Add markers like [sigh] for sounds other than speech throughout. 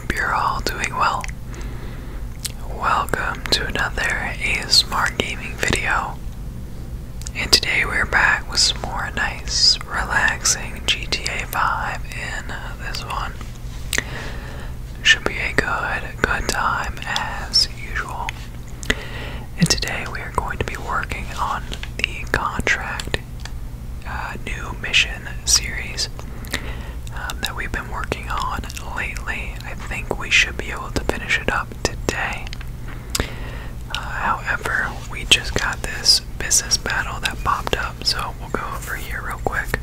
hope you're all doing well. Welcome to another ASMR gaming video. And today we're back with some more nice, relaxing GTA 5 in this one. Should be a good, good time as usual. And today we are going to be working on the contract, uh, new mission series um, that we've been working on lately. I think we should be able to finish it up today. Uh, however, we just got this business battle that popped up, so we'll go over here real quick.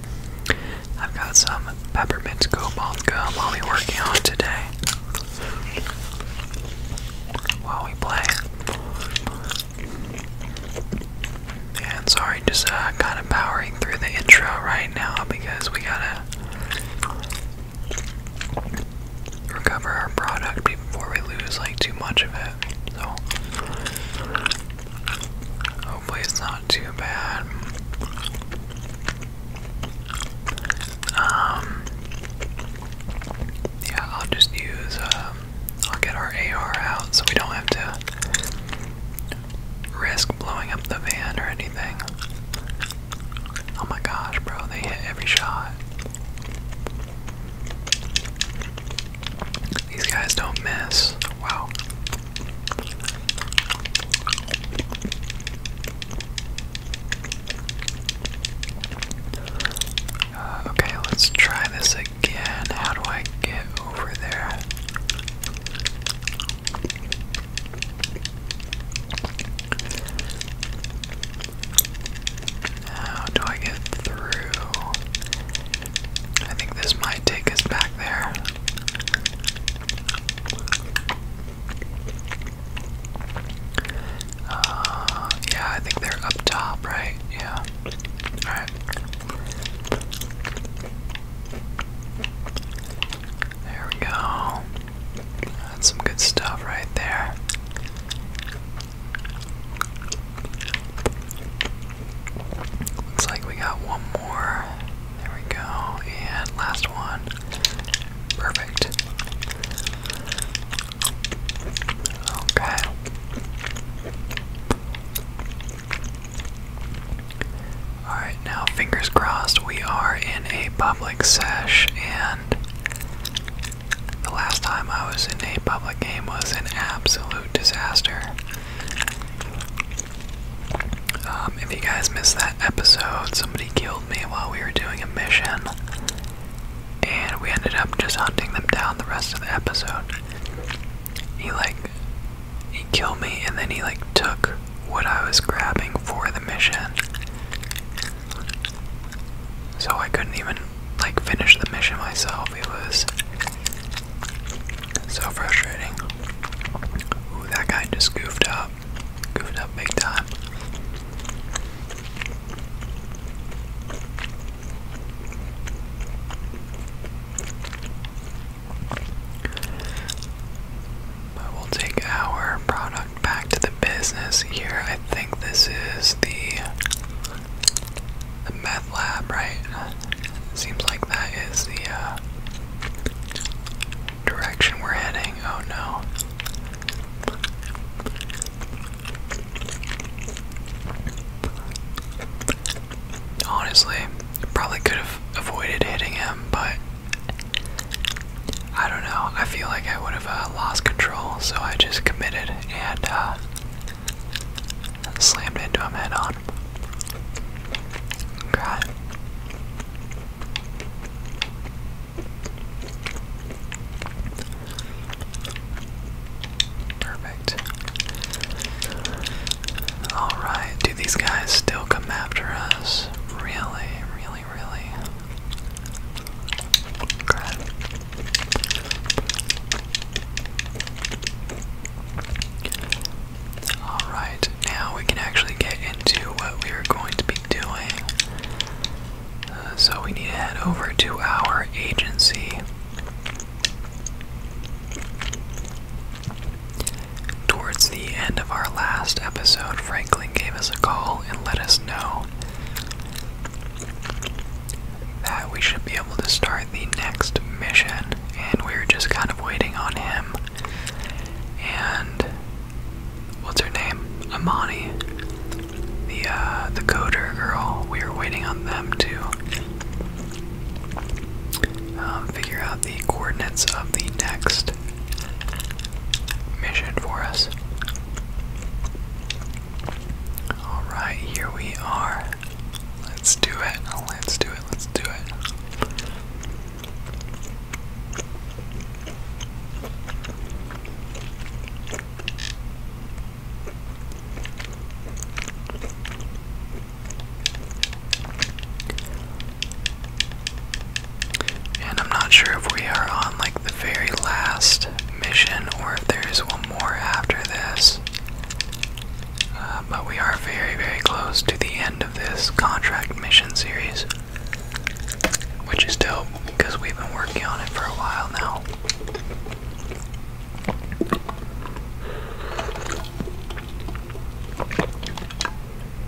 I've got some peppermint cobalt gum I'll be working on today while we play. Yeah, and sorry, just uh, kind of powering through the intro right now because we gotta recover our product before we lose like too much of it. So hopefully it's not too bad. Um, yeah, I'll just use. Um, I'll get our AR out so we don't have to risk blowing up the van or anything. Oh my gosh, bro, they hit every shot. These guys don't miss. Wow. Uh, okay, let's try this again. How do I get over there? How do I get through? I think this might take us back there. Uh, yeah, I think they're up top, right? Yeah. Alright. There we go. That's some good stuff right there. Looks like we got one more. There we go. And last one. Perfect. Okay. Alright, now fingers crossed we are in a public sesh, and the last time I was in a public game was an absolute disaster. Um, if you guys missed that episode, somebody killed me while we were doing a mission, and we ended up just hunting them down the rest of the episode. He, like, he killed me and then he like took what I was grabbing for the mission. So I couldn't even like finish the mission myself. It was so frustrating. Ooh, that guy just goofed up. Goofed up big time. But we'll take our product back to the business here. I think this is the, the meth lab, right? Seems like that is the uh, direction we're heading. Oh no. Honestly, probably could have avoided hitting him, but I don't know. I feel like I would have uh, lost control, so I just committed and uh, slammed into him head on. Perfect. Alright, do these guys still come after us? Really, really, really? Alright, now we can actually get into what we are going to be doing. Uh, so we need to head over to our agency. Towards the end of our last episode, Franklin gave us a call and let us know that we should be able to start the next mission, and we were just kind of waiting on him. And what's her name? Amani, the uh, the coder girl. We were waiting on them too. Um, figure out the coordinates of the next mission for us. Alright, here we are. Let's do it. Let's do it. Let's do it. And I'm not sure if we are on like the very last mission or if there is one more after this. Uh, but we are very, very close to the end of this contract mission series. Which is dope because we've been working on it for a while now.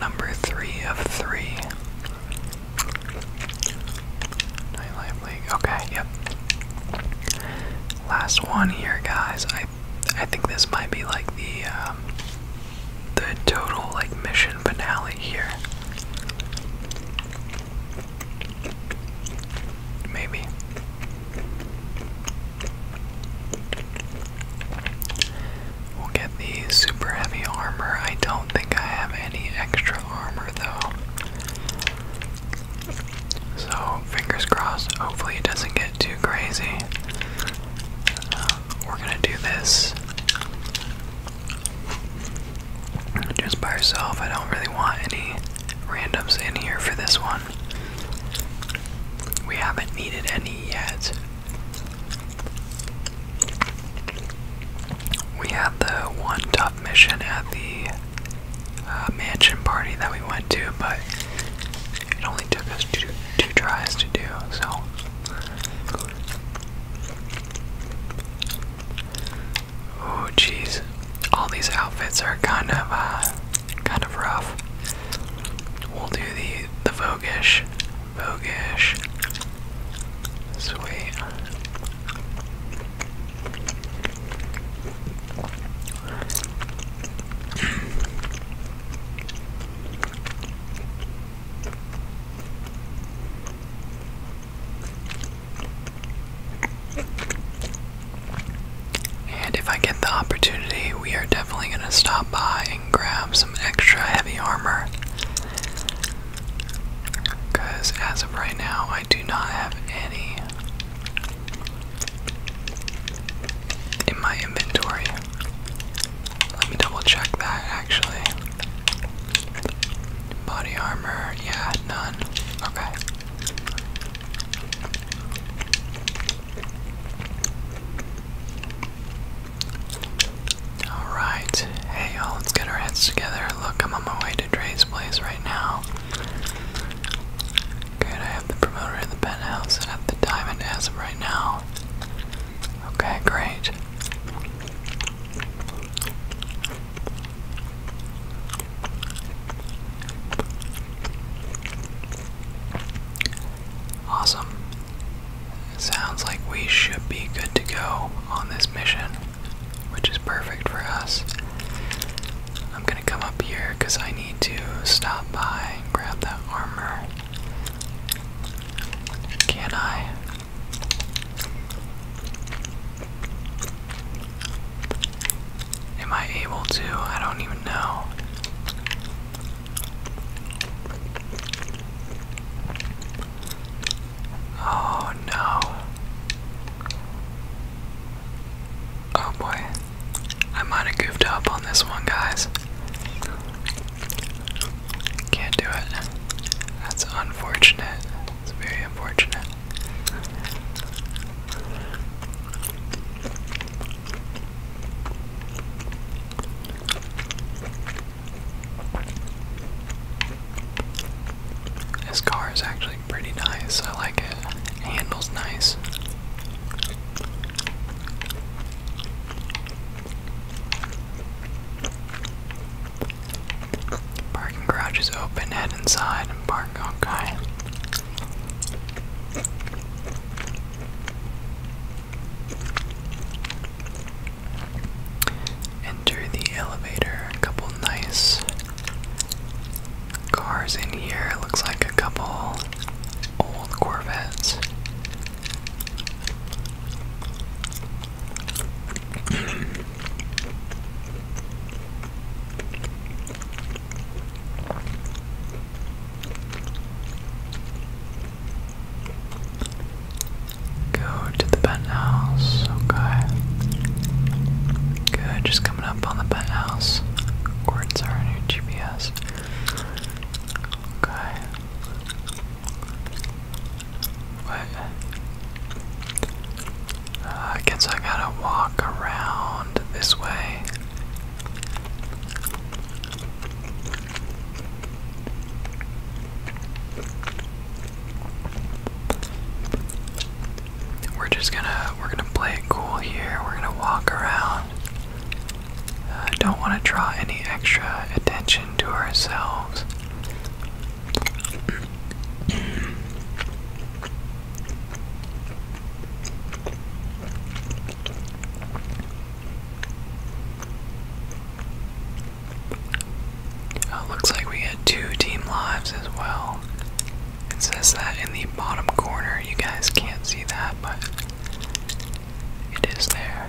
number three of three. Okay, yep. Last one here, guys. I I think this might be like the um, the total like mission finale here. Maybe. We'll get the super heavy armor. I don't think I have any extra armor though. So, fingers crossed, hopefully it doesn't get too crazy. Uh, we're gonna do this just by herself. I don't really want any randoms in here for this one. We haven't needed any yet. We had the one tough mission at the uh, mansion party that we went to, but it only took us two, tries to do, so. Oh, jeez. All these outfits are kind of, uh, kind of rough. We'll do the the voguish Bogish. Sweet. and if I get the opportunity, we are definitely going to stop by grab some extra heavy armor. Because as of right now, I do not have any in my inventory. Let me double check that actually. Body armor, yeah, none. Okay. Alright, hey y'all, let's get our heads together. Look, I'm on my way to Dre's place right now. Good, I have the promoter in the penthouse and have the diamond as right now. Okay, great. Awesome. Sounds like we should be good to go on this mission, which is perfect for us. I'm gonna come up here because I need to stop by and grab that armor. Can I? Am I able to? I don't even know. Oh no. Oh boy. I might have goofed up on this one, guys. Can't do it. That's unfortunate. It's very unfortunate. This car is actually pretty nice. I like it. handles nice. Parking garage is open, head inside and park okay. Enter the elevator. A couple nice cars in here. Looks like a couple old Corvettes. Go to the penthouse, okay. Good, just coming up on the penthouse. Quartz are new GPS. Okay. What? Uh, I guess I gotta walk around this way. We're just gonna we're gonna play it cool here. We're gonna walk around. Uh, don't want to draw any extra attention to ourselves. Uh, looks like we get two team lives as well. It says that in the bottom corner. You guys can't see that, but it is there.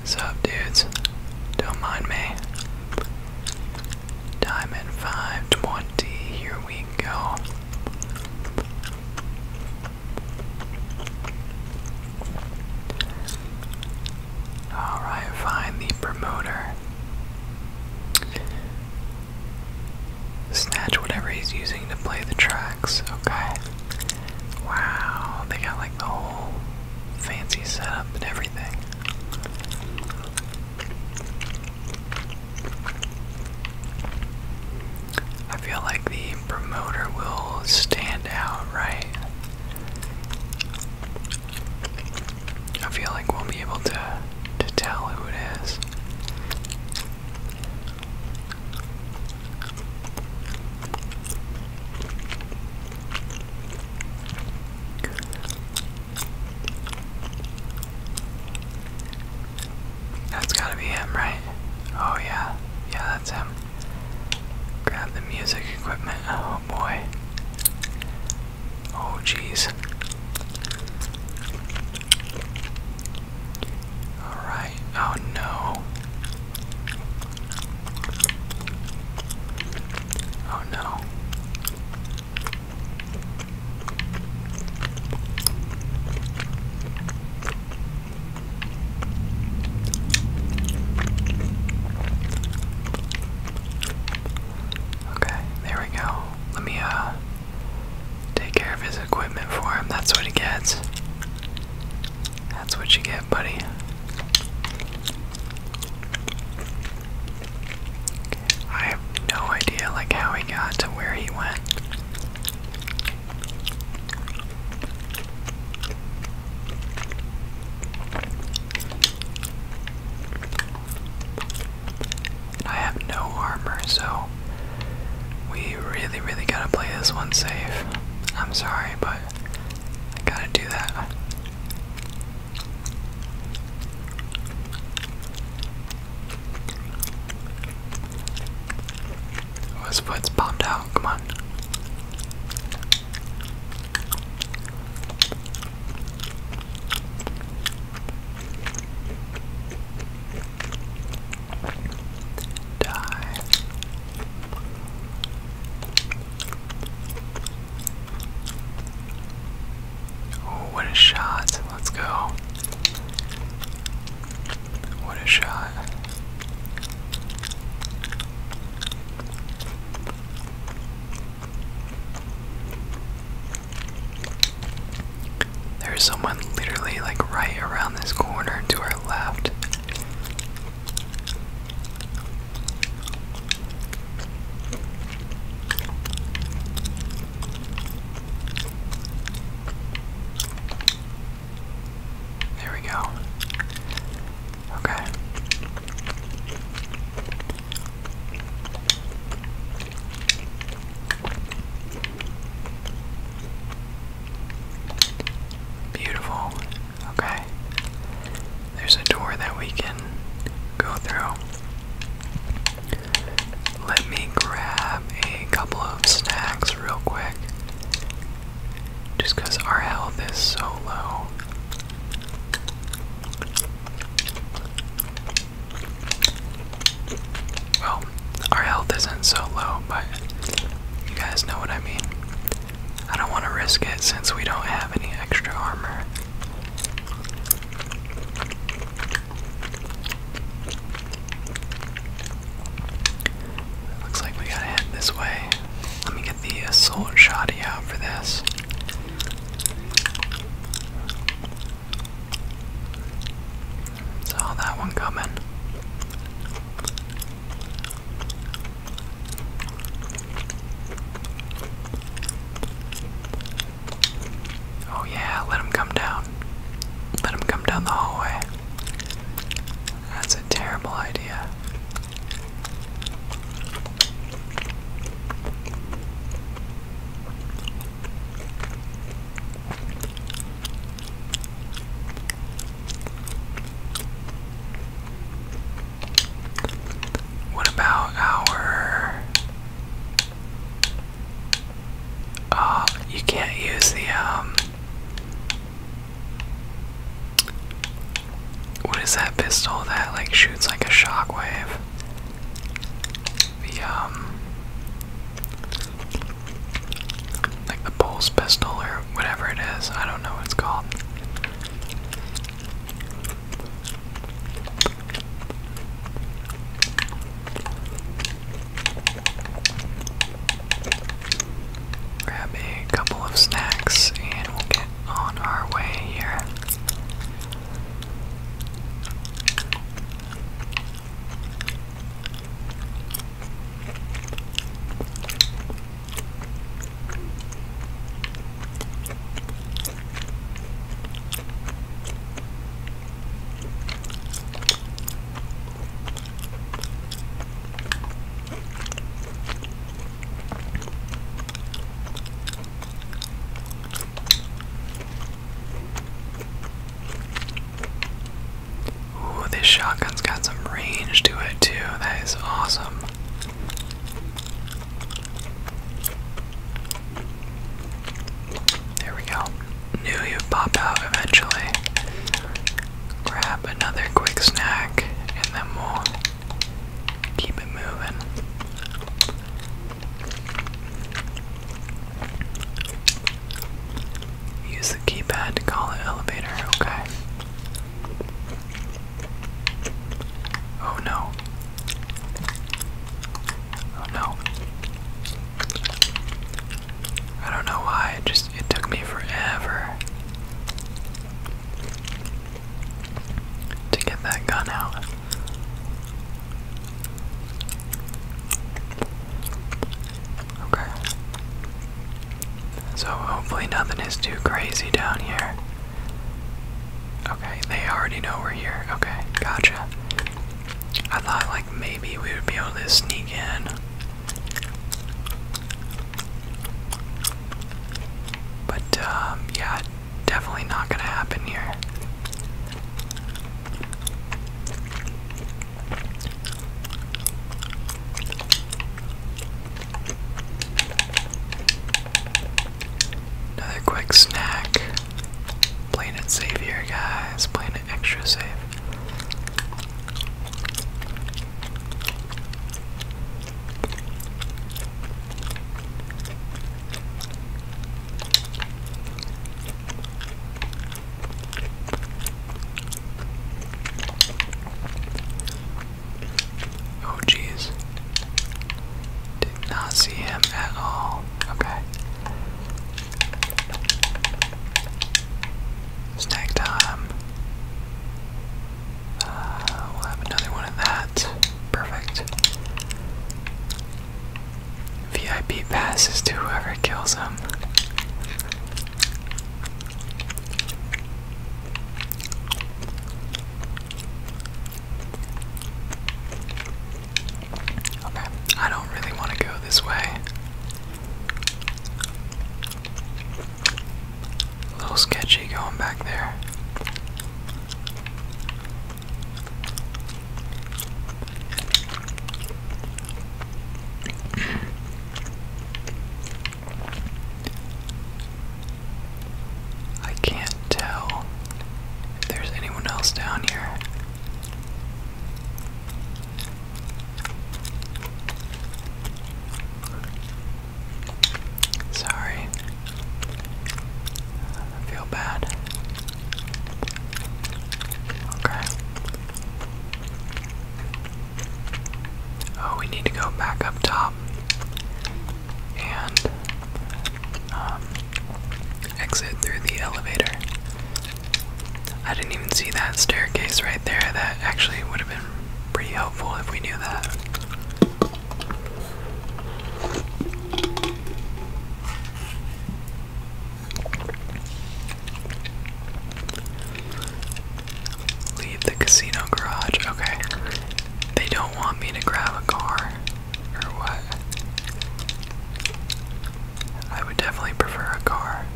What's up, dudes? Don't mind me. Diamond 520, here we go. Alright, find the promoter. Snatch whatever he's using to play the tracks, okay. Wow, they got like the whole fancy setup and everything. I feel like the promoter will stand out, right? I feel like we'll be able to to tell who it is. That's gotta be him, right? Oh, yeah. Yeah, that's him. Grab the music equipment. Oh, boy. Oh, jeez. Alright. Oh, no. Oh, no. Okay, there we go. Let me uh take care of his equipment for him. That's what he gets. That's what you get, buddy. I have no idea like how he got to where he went. I have no armor, so we really, really gotta play this one safe. I'm sorry, but I gotta do that. Oh, his foot's popped out. Come on. Die. Oh, what a shot. Let's go. What a shot. There's someone literally like right around this corner to our left. There we go. Okay. Beautiful. Okay. There's a door that we can go through. Let me grab a couple of snacks real quick. Just because our health is so low. Well, our health isn't so low, but you guys know what I mean. I don't want to risk it since we don't have any extra armor. Looks like we gotta head this way. Let me get the assault uh, shotty out for this. Saw that one coming. Oh, yeah, let him come down. Let him come down the hallway. That's a terrible idea. What about our Oh, you can't use the, um, what is that pistol that, like, shoots like a shockwave? The, um, like the Pulse pistol or whatever it is. I don't know what it's called. Grab a couple of snacks and we'll get on our way here. Ooh, this shotgun's got some range to it, too. That is awesome. There we go. Knew you'd pop out eventually. Grab another quick snack and then we'll keep it moving. Use the keypad to call it elevator, okay. Oh no. Oh no. I don't know why, just it took me forever to get that gun out. Okay. So hopefully nothing is too crazy down here. Okay, they already know we're here. Okay, gotcha. I thought like maybe we would be able to sneak in. But um, yeah, definitely not gonna happen here. Another quick snack. Playing it safe here, guys. Playing extra save. Oh, geez. Did not see him at all. Okay. Snack time. Uh, we'll have another one of that. Perfect. VIP passes to whoever kills him. Okay, I don't really want to go this way. A little sketchy going back there. I can't tell if there's anyone else down here. Sorry. I feel bad. Okay. Oh, we need to go back up top and um, exit through the elevator. I didn't even see that staircase right there. That actually would have been pretty helpful if we knew that. Leave the casino garage. Okay. They don't want me to grab a car. Or what? I would definitely prefer a car.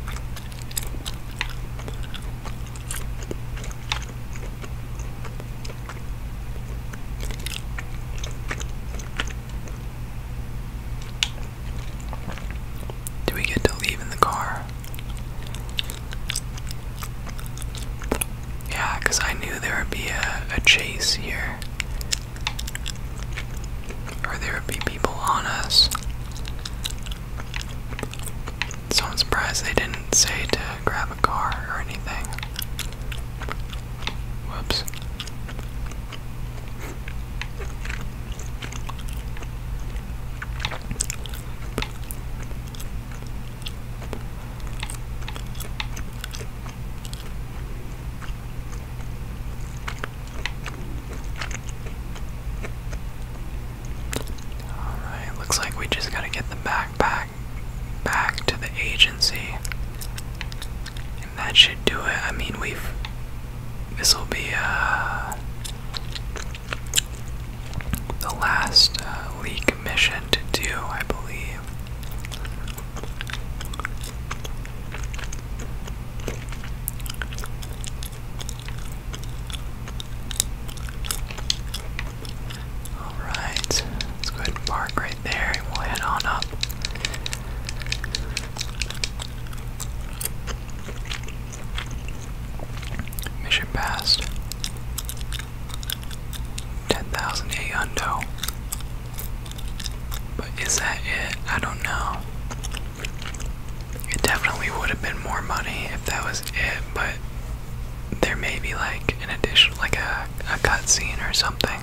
Do we get to leave in the car? Yeah, because I knew there would be a, a chase here. Or there would be people on us. So I'm surprised they didn't say to grab a car or anything. Whoops. Alright, looks like we just gotta get the backpack back to the agency. And that should do it. I mean, we've. This'll be, uh. The last uh, mission to do, I believe. Alright, let's go ahead and park right there and we'll head on up. Mission passed. 10,000 a hundo. But is that it? I don't know. It definitely would have been more money if that was it, but there may be like an additional, like a, a cutscene or something.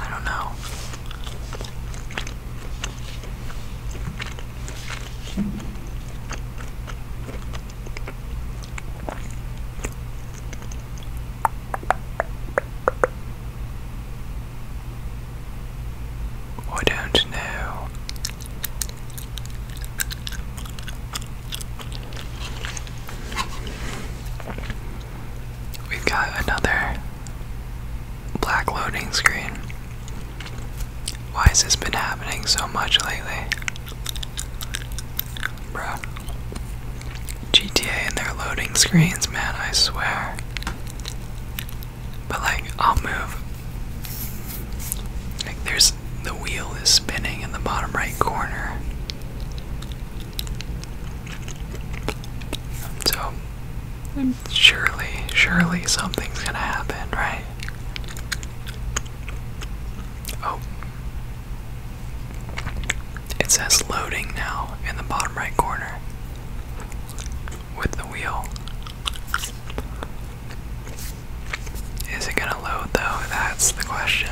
I don't know. I don't know. we got another black loading screen. Why has this been happening so much lately? Bruh. GTA and their loading screens, man, I swear. But like, I'll move. Like, there's the wheel is spinning in the bottom right corner. So, surely, surely something's gonna happen, right? Oh. It says loading now in the bottom right corner with the wheel. Is it gonna load though? That's the question.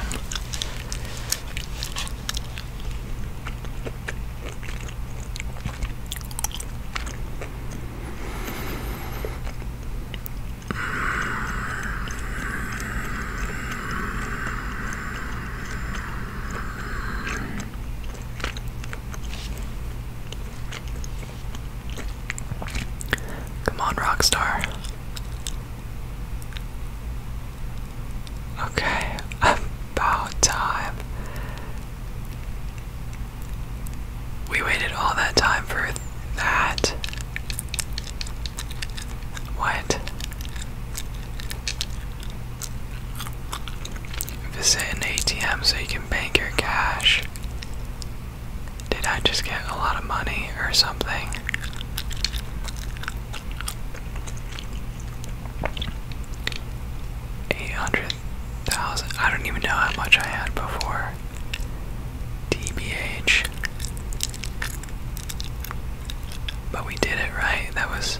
Come on, Rockstar. Okay, [laughs] about time. We waited all that time for that. What? Visit an ATM so you can bank your cash. Did I just get a lot of money or something? Eight hundred thousand. I don't even know how much I had before. DBH. But we did it, right? That was.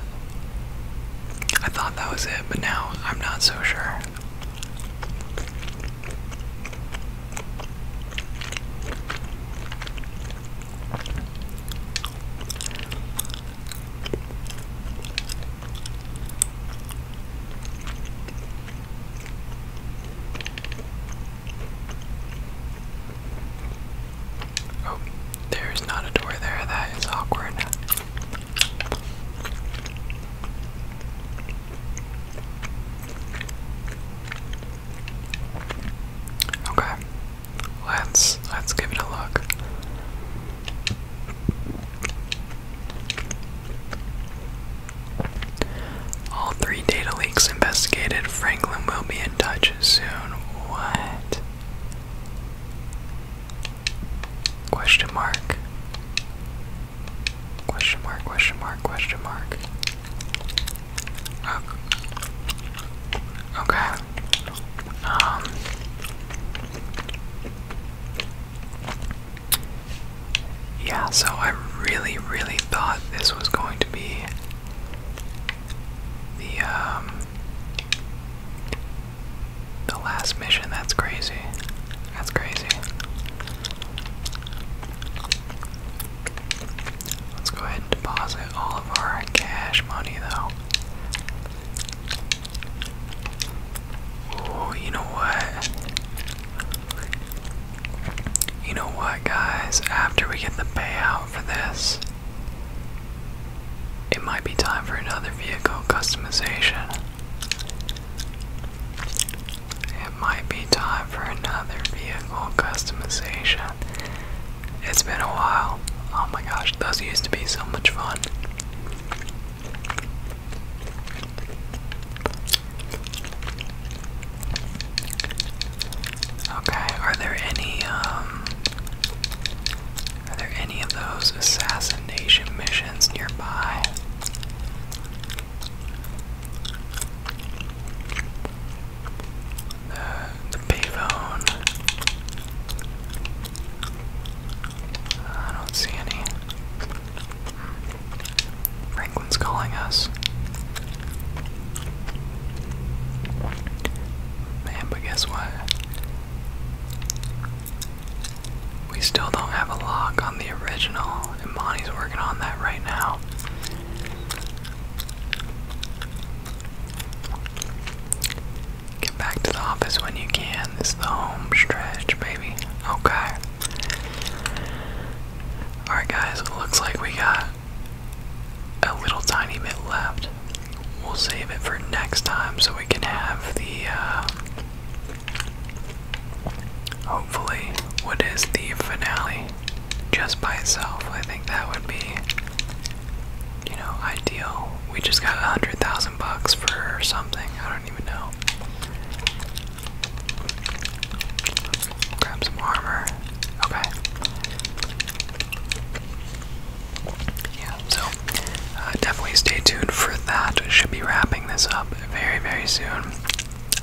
I thought that was it, but now I'm not so sure. Oh, there's not a door there. That is awkward. Okay. Let's let's give it a look. All three data leaks investigated. Franklin will be in touch soon. What? Question mark. Question mark, question mark, question mark. Oh. Okay. Um. Yeah, so I really, really thought this was going to be the, um, the last mission, that's crazy. That's crazy. Let's go ahead and deposit all of our cash money though. Oh, you know what? You know what, guys? After we get the payout for this, it might be time for another vehicle customization. It might be time for another vehicle customization. It's been a while. Oh my gosh, those used to be so much fun. Okay, are there any um are there any of those assassination missions nearby? The, the I don't see any. Franklin's calling us. Man, but guess what? We still don't have a lock on the original, and Bonnie's working on that right now. Get back to the office when you can. It's the home stretch, baby. Okay. Alright, guys, it looks like we got a little tiny bit left. We'll save it for next time so we can have the. Uh, hopefully, what is the finale just by itself? I think that would be, you know, ideal. We just got a hundred thousand bucks for something. I don't even know. Grab some armor. Okay. Yeah, so uh, definitely stay tuned for that. Should be wrapping this up very, very soon.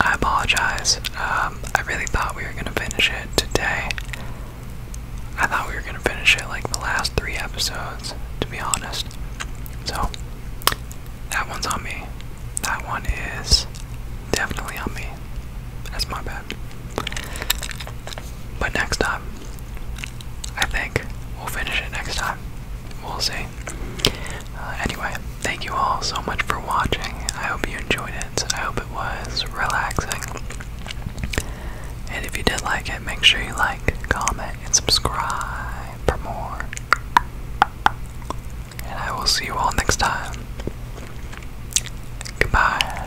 I apologize. Um, I really thought we were gonna finish it today. I thought we were gonna finish it like the last three episodes, to be honest. So that one's on me. That one is definitely on me. That's my bad. But next time, I think we'll finish it next time. We'll see. Uh, anyway, thank you all so much for watching. I hope you enjoyed it. I hope it was relaxing. And if you did like it, make sure you like, comment, and subscribe for more. And I will see you all next time. Goodbye.